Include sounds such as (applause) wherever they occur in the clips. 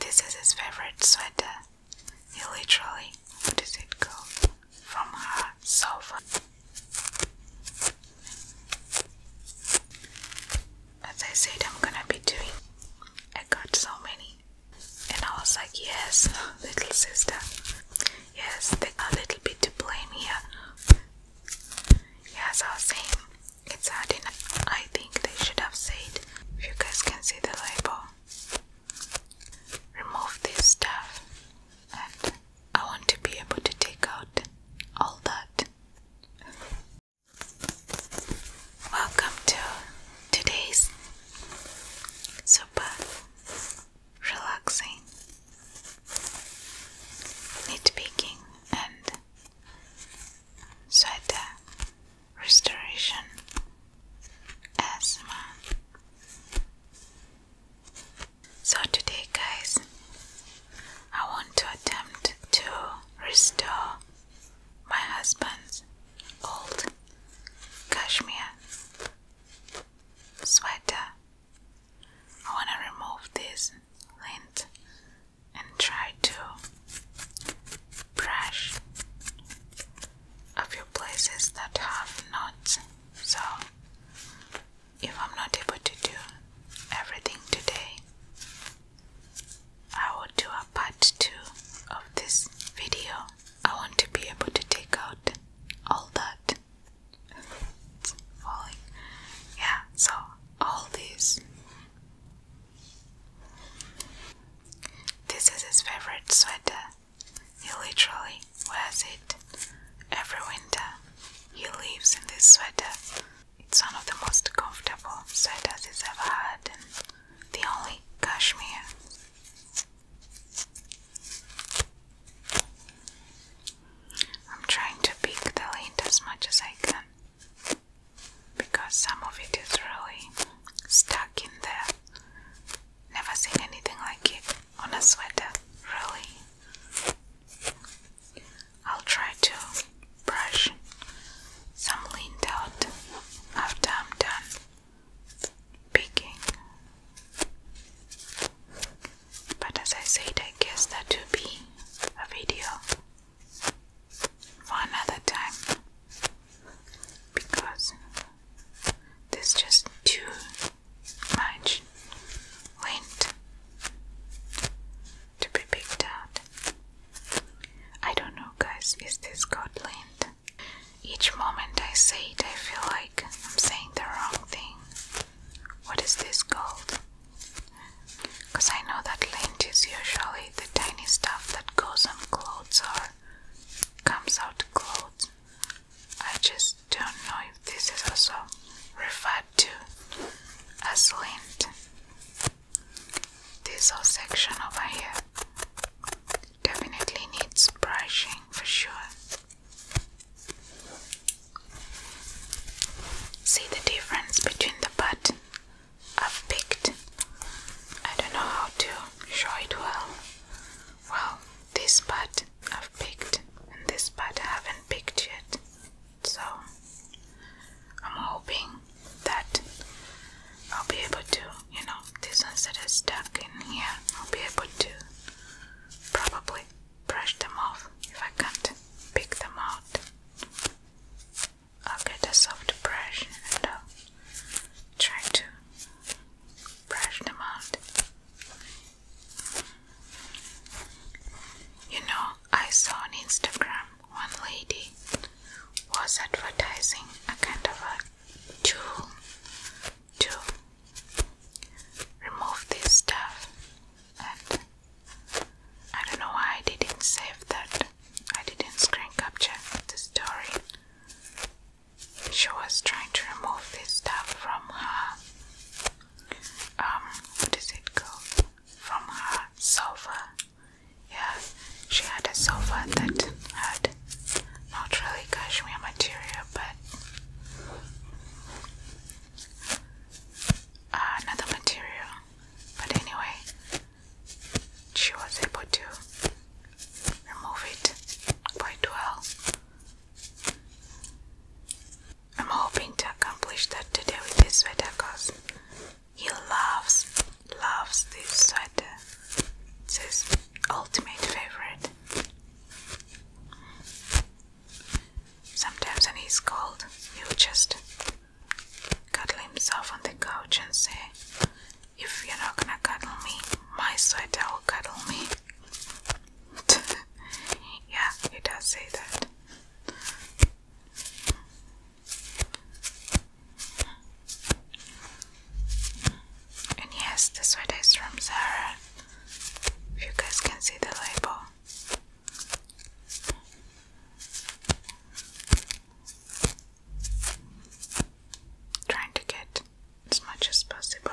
This is his favorite sweater. He literally, what does it go From her sofa. As I said, I'm gonna be doing. I got so many, and I was like, "Yes, (laughs) little sister, yes, a little bit to blame here." Yes, I was saying, it's hard enough. I think they should have said, if you guys can see the label, remove this stuff. And I want to be able to take out all that. Welcome to today's super relaxing nitpicking and sweater restoration, asthma. So, today, guys, I want to attempt to restore my husband's old cashmere sweater. I want to remove this lint and try to brush a few places that have knots. So, if I'm not able to do everything today, I will do a part 2 of this video. I want to be able to take out all that falling. Yeah, so all these this is his favorite sweater. He literally wears it every winter. He lives in this sweater. It's one of the most comfortable sweaters he's ever had, and the only cashmere. I'm trying to pick the lint as much as I can because some of it is really stuck in there. Never seen anything like it on a sweater, really. I'll try to brush some lint out after I'm done picking. But as I said, I guess that will be a video for another time because there's just too much wind to be picked out. I don't know, guys, is this Scotland? Each moment I say it, I feel like I'm saying the wrong thing. What is this called? Because I know that lint is usually the tiny stuff that goes on clothes or comes out clothes. I just don't know if this is also referred to as lint. This whole section over here definitely needs brushing for sure. See the difference between the button I've picked. I don't know how to show it well. Well, this part I've picked, and this part I haven't picked yet. So I'm hoping that I'll be able to, you know, this ones that stuck in here, I'll be able to probably brush them off if I can't pick them out. I'll get a soft brush and I'll try to brush them out. You know, I saw on Instagram one lady was advertising a kind of a tool to remove this stuff I don't know why I didn't save that. I didn't screen capture the story. She was trying to remove this stuff from her. Um, what is it called? From her sofa. Yeah, she had a sofa that had not really cashmere material, but another material. But anyway, she was able to remove it quite well. I'm hoping to accomplish that today with his sweater because he loves, loves this sweater. It's his ultimate favorite. Sometimes when he's cold, he'll just cuddle himself on the couch and say, If you're not gonna cuddle me, my sweater will cuddle me. (laughs) yeah, he does say that. And yes, the sweater is from Zara. If you guys can see the label, Trying to get as much as possible.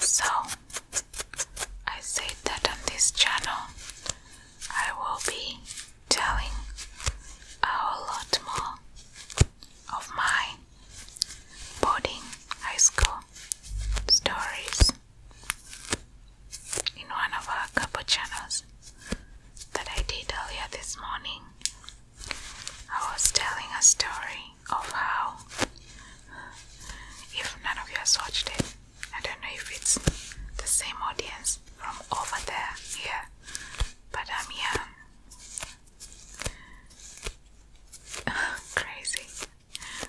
So, I said that on this channel I will be telling a lot more of my boarding high school stories in one of our cappuccinos that I did earlier this morning, I was telling a story of how, if none of you has watched it, I don't know if it's the same audience from over there yeah. but I'm young. (laughs) Crazy.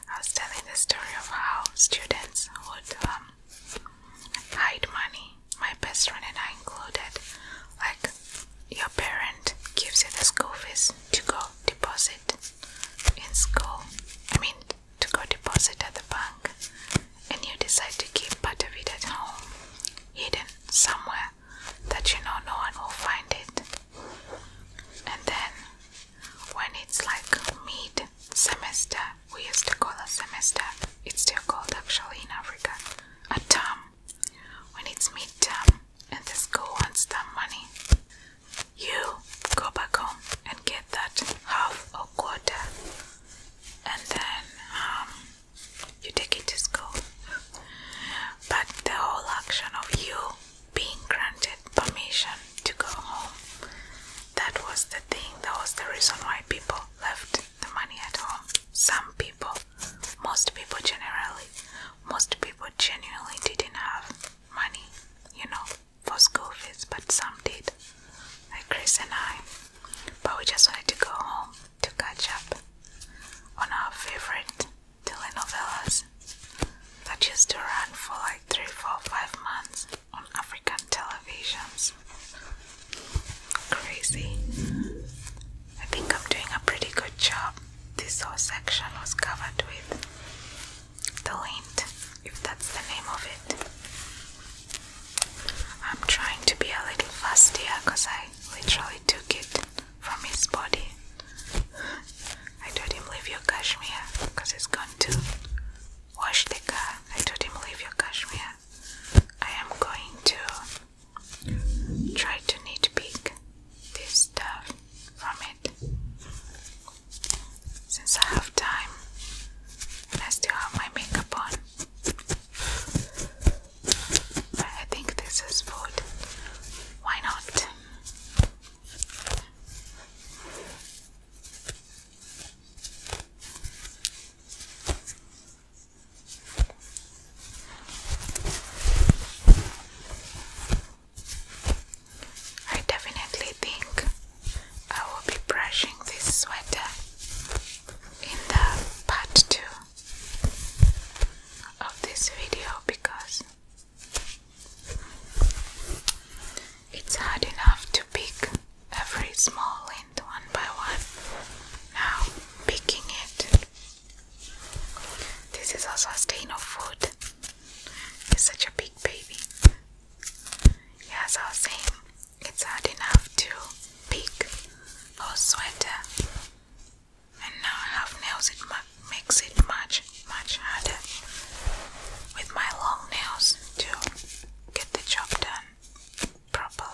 I was telling the story of how students would um, hide money, my best friend and I included. Like, your parent gives you the school fees to go deposit in school, I mean, to go deposit at the bank, and you decide to keep part of it at home, hidden somewhere that you know no one will find it. And then when it's like mid semester, we used to call a semester, it's still called actually in Africa, a term. When it's mid term and the school wants that money, you go back home and get that half or quarter, and then um, you take it to school. But the whole action of you being granted permission to go home. That was the thing, that was the reason why people left the money at home. Some people, most people generally, most people genuinely didn't have money, you know, for school fees, but some did, like Chris and I. But we just wanted to go home to catch up on our favorite telenovelas that used to run for like three, four, five months on African televisions. Crazy. I think I'm doing a pretty good job. This whole section was covered with the lint, if that's the name of it. I'm trying to be a little fast here because I literally took it from his body. I told him leave your Kashmir, because he's going to wash the car. I told him leave your Kashmir. I am going to try to nitpick this stuff from it since I have time I still have my makeup on. I think this is food. Why not? I definitely think I will be brushing this sweater in the part 2 of this video because it's hard enough to pick every small lint one by one. Now, picking it. This is also a stain of food. It's such a big baby. Yeah, I was saying, it's hard enough to pick a sweater. And now I have nails in my makes it much, much harder with my long nails to get the job done properly.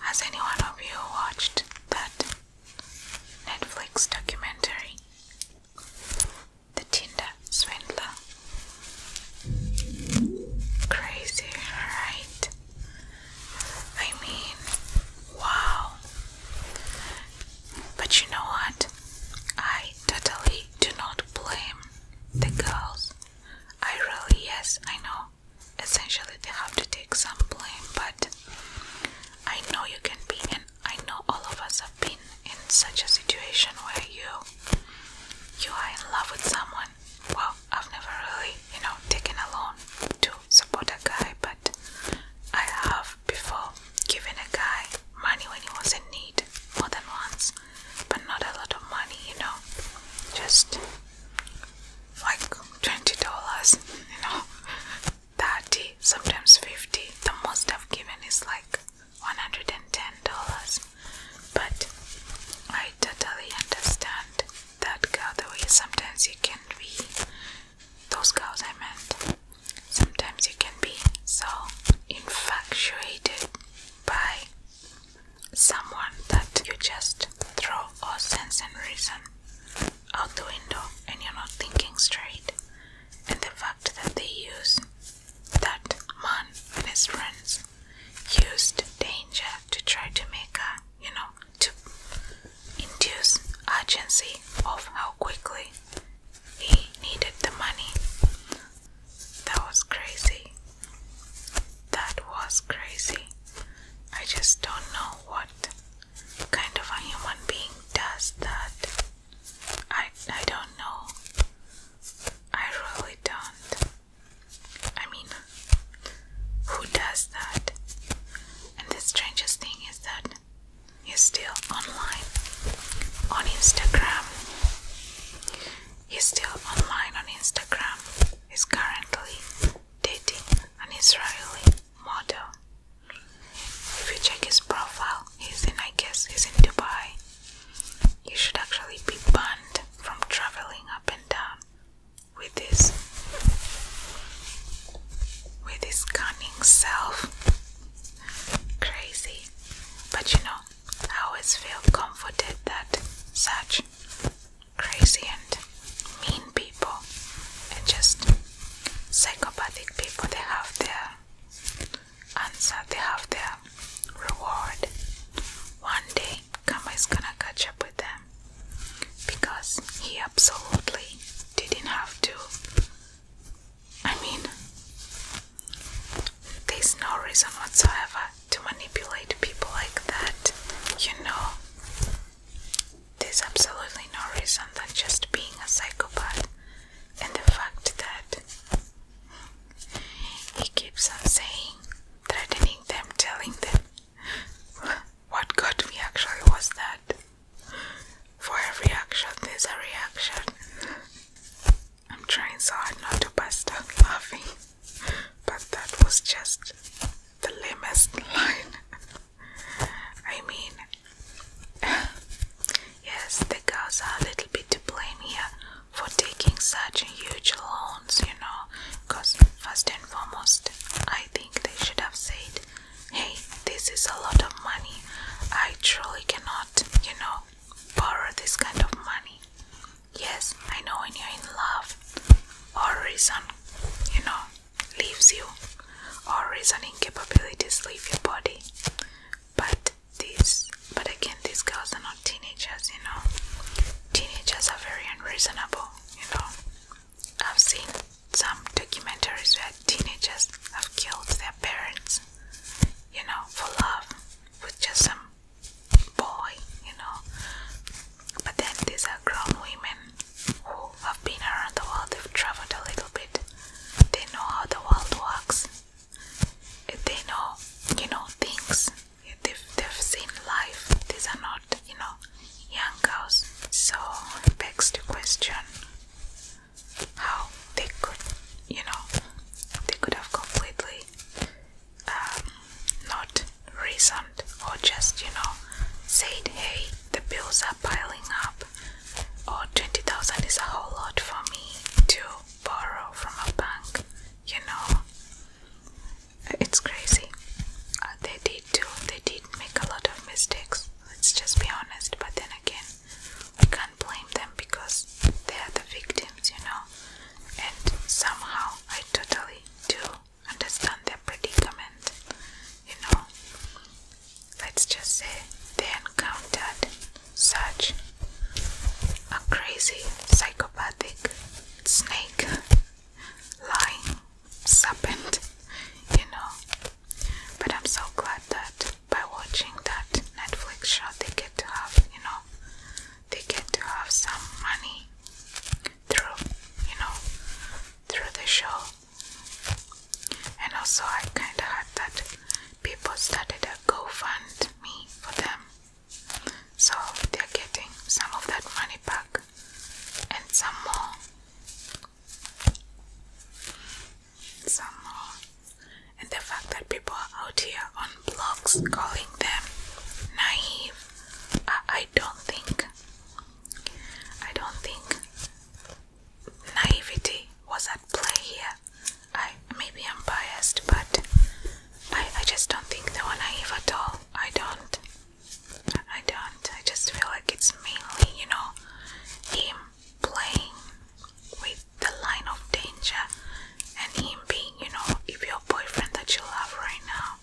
Has anyone of you watched that Netflix documentary? The Tinder Swindler. Crazy, right? I mean, wow. But you know what? I totally do not blame the girls. I really, yes, I know. Essentially, they have to take some blame, but I know you can be, and I know all of us have been in such a situation where you you are in love with someone. Well, I've never really, you know, taken a loan to support a guy, but I have before given a guy money when he was in need more than once but not a lot of money, you know, just like $20, you know, 30 sometimes 50 The most I've given is like $110, but I totally understand that girl the way sometimes you can be, those girls I meant, sometimes you can be so infatuated by someone that you just throw all sense and reason out the window and you're not thinking straight. And the fact that they use that man and his friends used danger to try to make a you know to induce urgency of how quickly he needed the money that was crazy. That was crazy. I just don't know what kind of a human being does that. I I don't know. I really don't. I mean, who does that? And the strangest thing is that you're still online on Instagram. He's still online on Instagram. He's currently dating an Israeli model. If you check his profile, he's in, I guess, he's in Dubai. You should actually be banned from traveling up and down with this, with his cunning self. Crazy, but you know, I always feel comforted that such crazy and mean people and just psychopathic people they have their answer, they have their reward. One day Kama is gonna catch up with them because he absolutely didn't have to I mean, there's no reason whatsoever to manipulate people like that, you know. There's absolutely no reason that just being a psychopath and the fact that he keeps on saying, threatening them, telling them what got me actually was that for every action there's a reaction. I'm trying so hard not to bust out laughing, but that was just the lamest (laughs) line. I mean, (laughs) yes, the girls are a little bit to blame here for taking such huge loans, you know, because first and foremost, I think they should have said, Hey, this is a lot of money. I truly cannot, you know, borrow this kind of money. Yes, I know when you're in love or reason, you know, leaves you, or reasoning capabilities leave your body. But this, but again, these girls are not teenagers, you know. Teenagers are very unreasonable, you know. I've seen some documentaries where teenagers have killed their parents you know, for love with just some boy, you know. But then these are grown women who have been around the world, they've traveled a little bit, they know how the world works, they know, you know, things, they've, they've seen life. These are not, you know, young girls. So, it begs the question how they could, you know, they could have completely um, not reasoned or just, you know, said, hey, the bills are piling up, or 20,000 is a whole lot for me to borrow from a bank, you know. It's crazy. Uh, they did too. They did make a lot of mistakes. Let's just be honest. But then again, blame them because they are the victims, you know. And somehow I totally do understand their predicament, you know. Let's just say they encountered such a crazy, psychopathic snake, lying serpent, you know. But I'm so glad that by watching that Netflix show they get to have, you know, they get to have some money through, you know, through the show. And also I kinda had that people started a GoFundMe for them. So they're getting some of that money back and some more some more. And the fact that people are out here on blogs calling them naive, I, don't think, I don't think naivety was at play here. I maybe I'm biased, but I I just don't think they were naive at all. I don't. I don't. I just feel like it's mainly you know him playing with the line of danger and him being, you know, if your boyfriend that you love right now,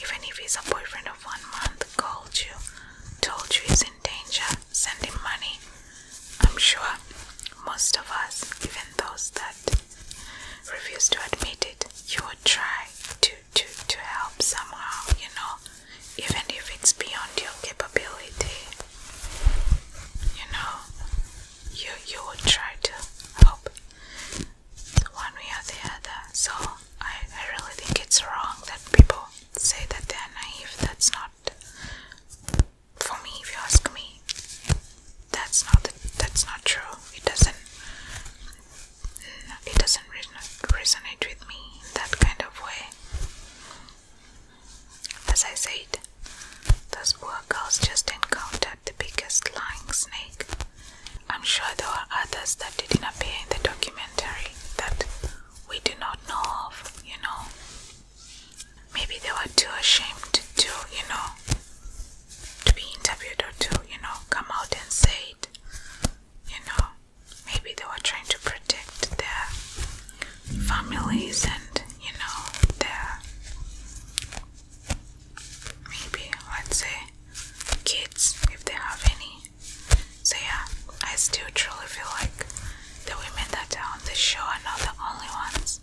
even if he's a boyfriend of one month, called you, told you he's in danger, sending money. I'm sure most of us, even those that refuse to admit it, you would try to to to help somehow, you know even if it's beyond your capability. You know, you you would try to help one way or the other. So I, I really think it's wrong that people say that they are naive. That's not for me if you ask me. That's not that's not true. It doesn't it doesn't resonate with me that kind of way. As I said, those poor girls just encountered the biggest lying snake. I'm sure there are others that didn't appear in the documentary that we do not know of, you know. Maybe they were too ashamed to, you know, to be interviewed or to, you know, come out and say it, you know maybe they were trying to protect their families and you know their maybe let's say kids if they have any. So yeah, I still truly feel like the women that are on the show are not the only ones.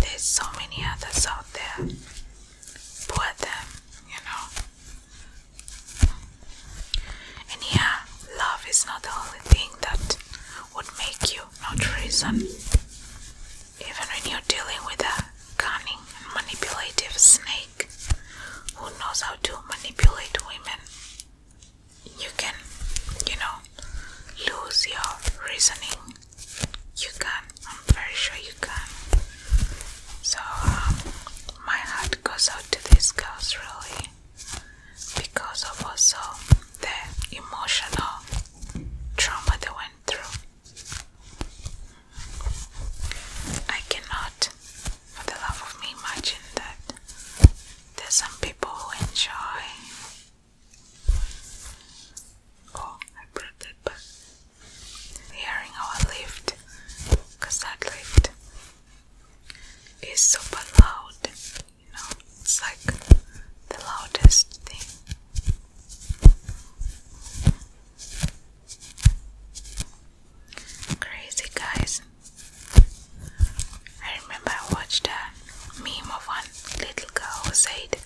There's so many others out there. Poor them, you know. And yeah, love is not the only thing that would make you not reason. Even when you're dealing with a cunning manipulative snake who knows how to manipulate women, you can, you know, lose your reasoning. You can, I'm very sure you can. So, um, my heart goes out to these girls, really because of also the emotional trauma they went through. I cannot, for the love of me, imagine that there's some people who enjoy. Oh, I brought that back. Hearing our lift, because that lift it's super loud, you know, it's like the loudest thing. Crazy guys. I remember I watched a meme of one little girl who said,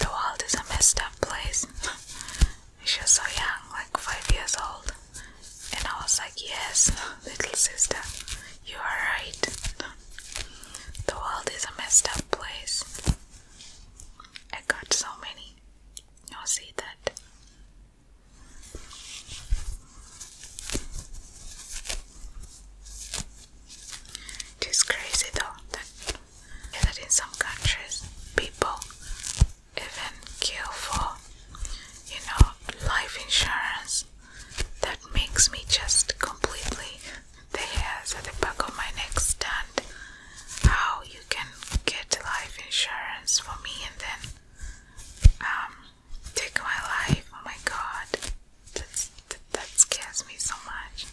The world is a messed up place. (laughs) She's so young, like five years old. And I was like, Yes, (laughs) little sister, you are right. The world is a messed up place. I got so many. You'll see that. It is crazy though that, that in some countries people even kill for you know life insurance that makes me just completely the hairs at the back of my neck stand how you can get life insurance for me and then um, take my life oh my god that, that scares me so much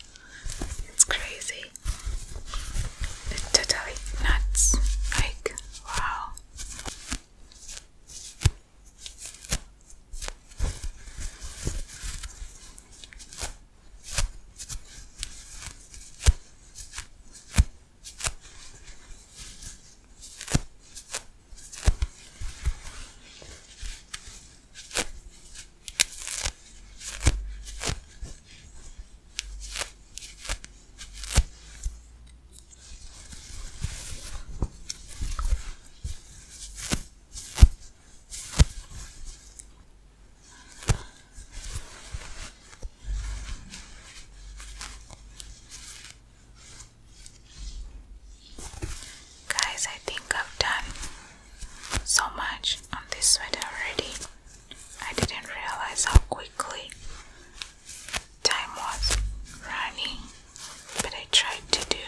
it's crazy totally, totally nuts. Like, wow. Guys, I think I've done so much on this sweater already. I didn't realize how quickly time was running, but I tried to do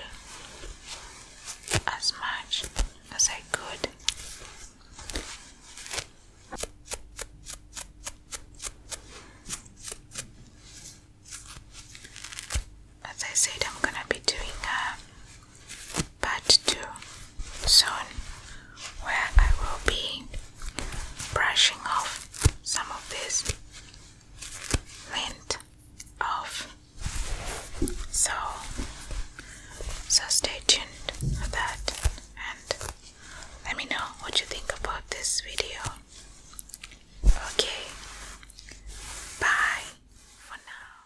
as much as I could. As I said, I'm gonna be doing a part two soon where I will be brushing off some of this lint off. So, so stay tuned for that and let me know what you think about this video. Okay, bye for now.